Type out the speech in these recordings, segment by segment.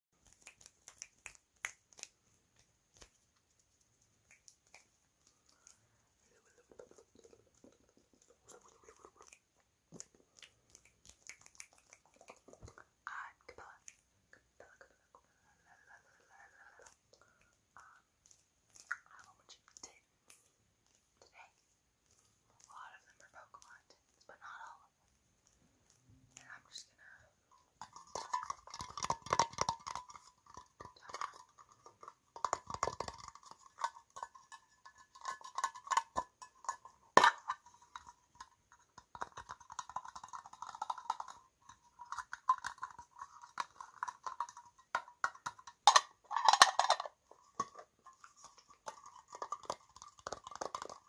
I'm Capella. Capella, I have a bunch today. A lot of them are Pokemon but not all and I'm just gonna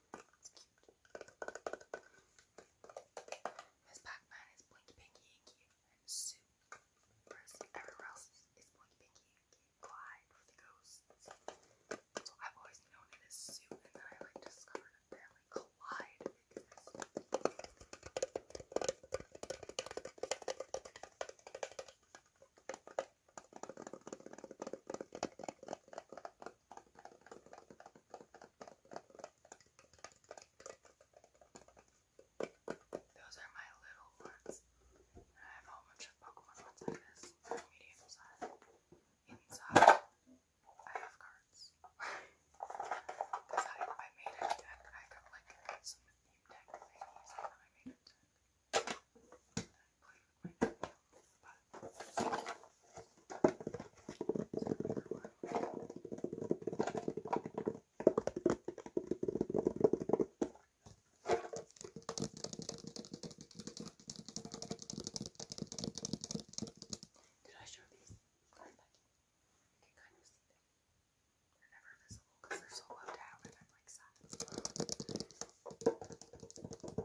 It's cute. Pac-Man is Blinky Pinky and Sue. Whereas everywhere else is Blinky Pinky Inky Clyde for the ghosts. So I've always known it as and then I like discovered apparently Clyde those are my little ones. I have a whole Pokemon ones like this, medium size. Inside, I have cards. Because I, I made a deck. I got like some name deck I made a deck. Did I show these? Come back. You can kind of see them. They're never visible because they're so low down and I'm like sad.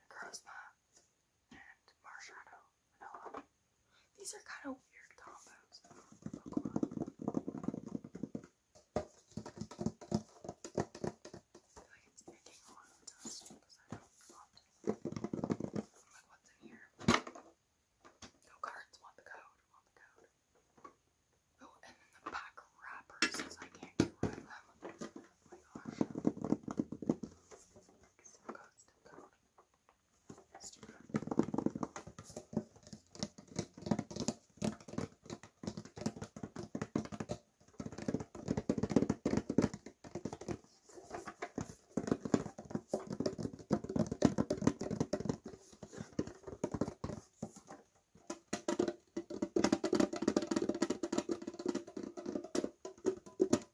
Necrozma, and Marshadow, These are kind of weird combos I am like, what's in here? No cards, want the code, want the code. Oh, and then the pack wrappers, because I can't get rid of them. Oh my gosh. Still cold, still cold. It's too cold.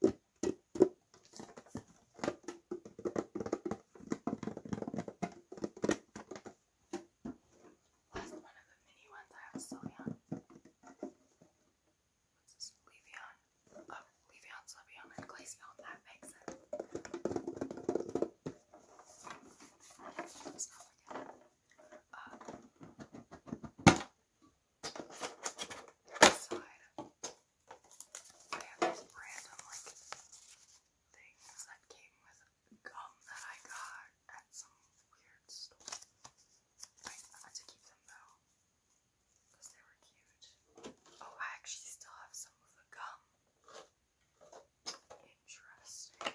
Thank that's one of the mini ones I have Sylveon. What's this? Levion. Oh, Levion, Sylveon, and Glaceon. That makes sense. Let's not forget. Uh, I have these random like things that came with gum that I got at some weird store. I had to keep them though. Because they were cute. Oh, I actually still have some of the gum. Interesting.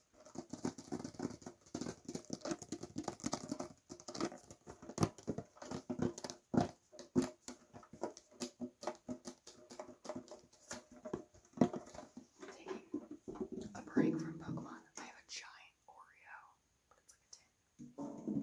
Taking a break from Pokemon. I have a giant Oreo, but it's like a tin.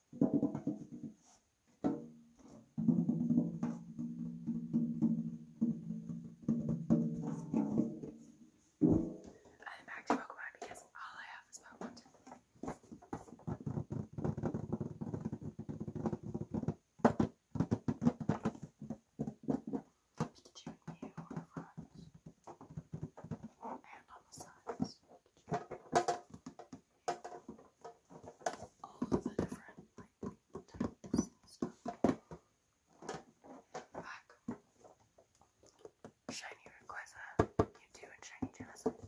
I'm back to Pokemon because all I have is Pokemon. Pikachu and Mew are friends and on the sides. All the different types and stuff. Back. Shiny Rayquaza. You do in Shiny Genesect.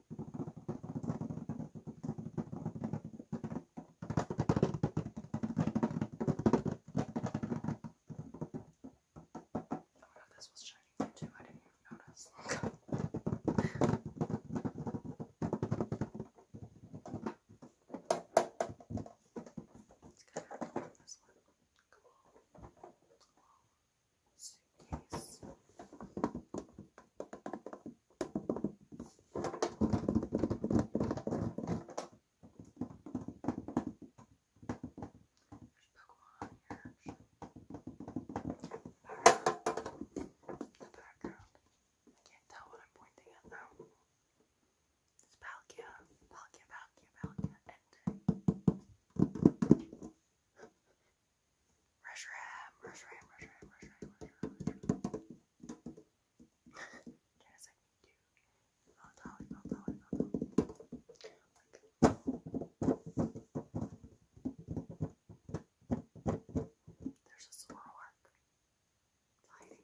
Oh my god, this was shiny for too. I didn't even notice. Let's get this one. Cool. Cool. So suitcase. There's Pokemon background. I can't tell what I'm pointing at now. It's Palkia. Palkia, Palkia, Palkia, Rush Ram, Rush Ram, Rush Ram, Rush Ram, Rush Ram, Rush There's a Zoroark. It's hiding,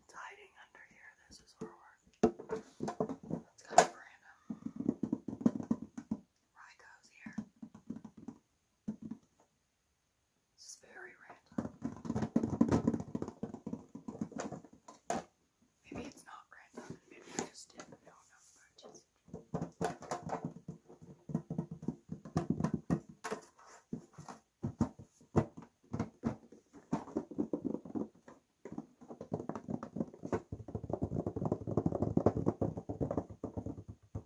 It's hiding under here. There's a Zoroark. That's kind of random. Raigo's here. This is very random. Maybe it's not random. Maybe I just didn't know enough about it.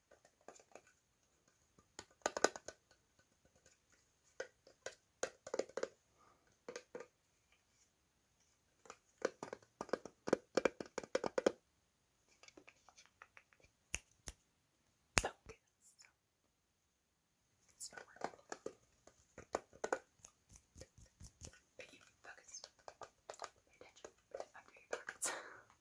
Focus. It's not working. But you focus. Pay attention. Under your pockets.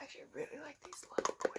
I actually really like these little boys.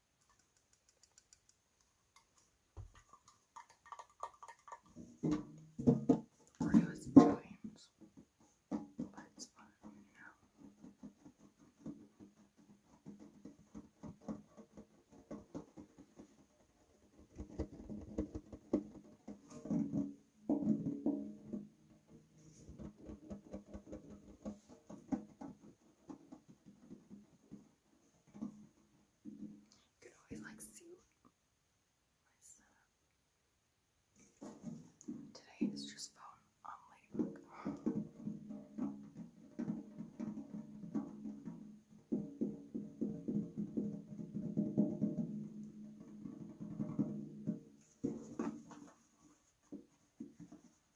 Oreos and dreams, but it's fun, you know. You could always like see Today is just phone only look.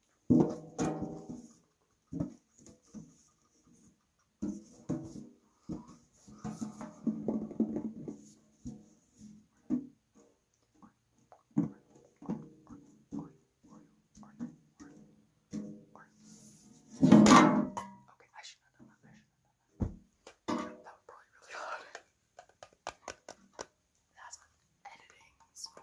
I should have done that. I should have done that. That would probably really hard that's what editing's for.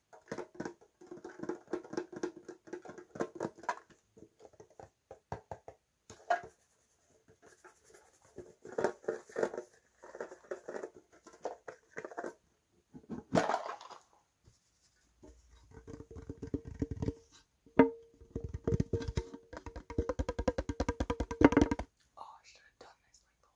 Oh, I should have done this like the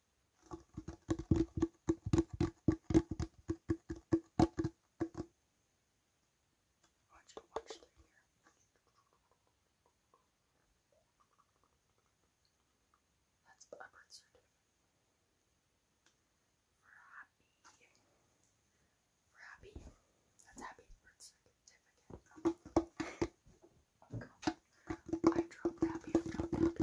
I want you watch through That's the birth certificate. For happy. For happy. That's happy birth certificate. I dropped happy, I dropped happy.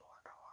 Mordor.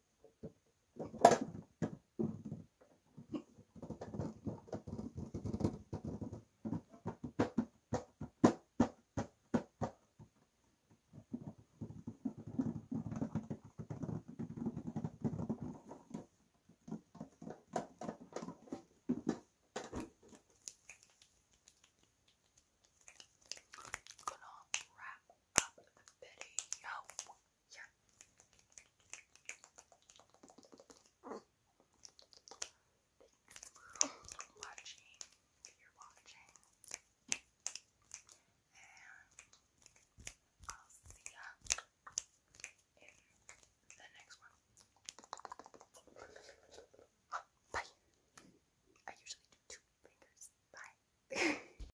gonna wrap up the video. Yeah. Watching, you're watching, and I'll see ya in the next one. Bye. I usually do two fingers. Bye.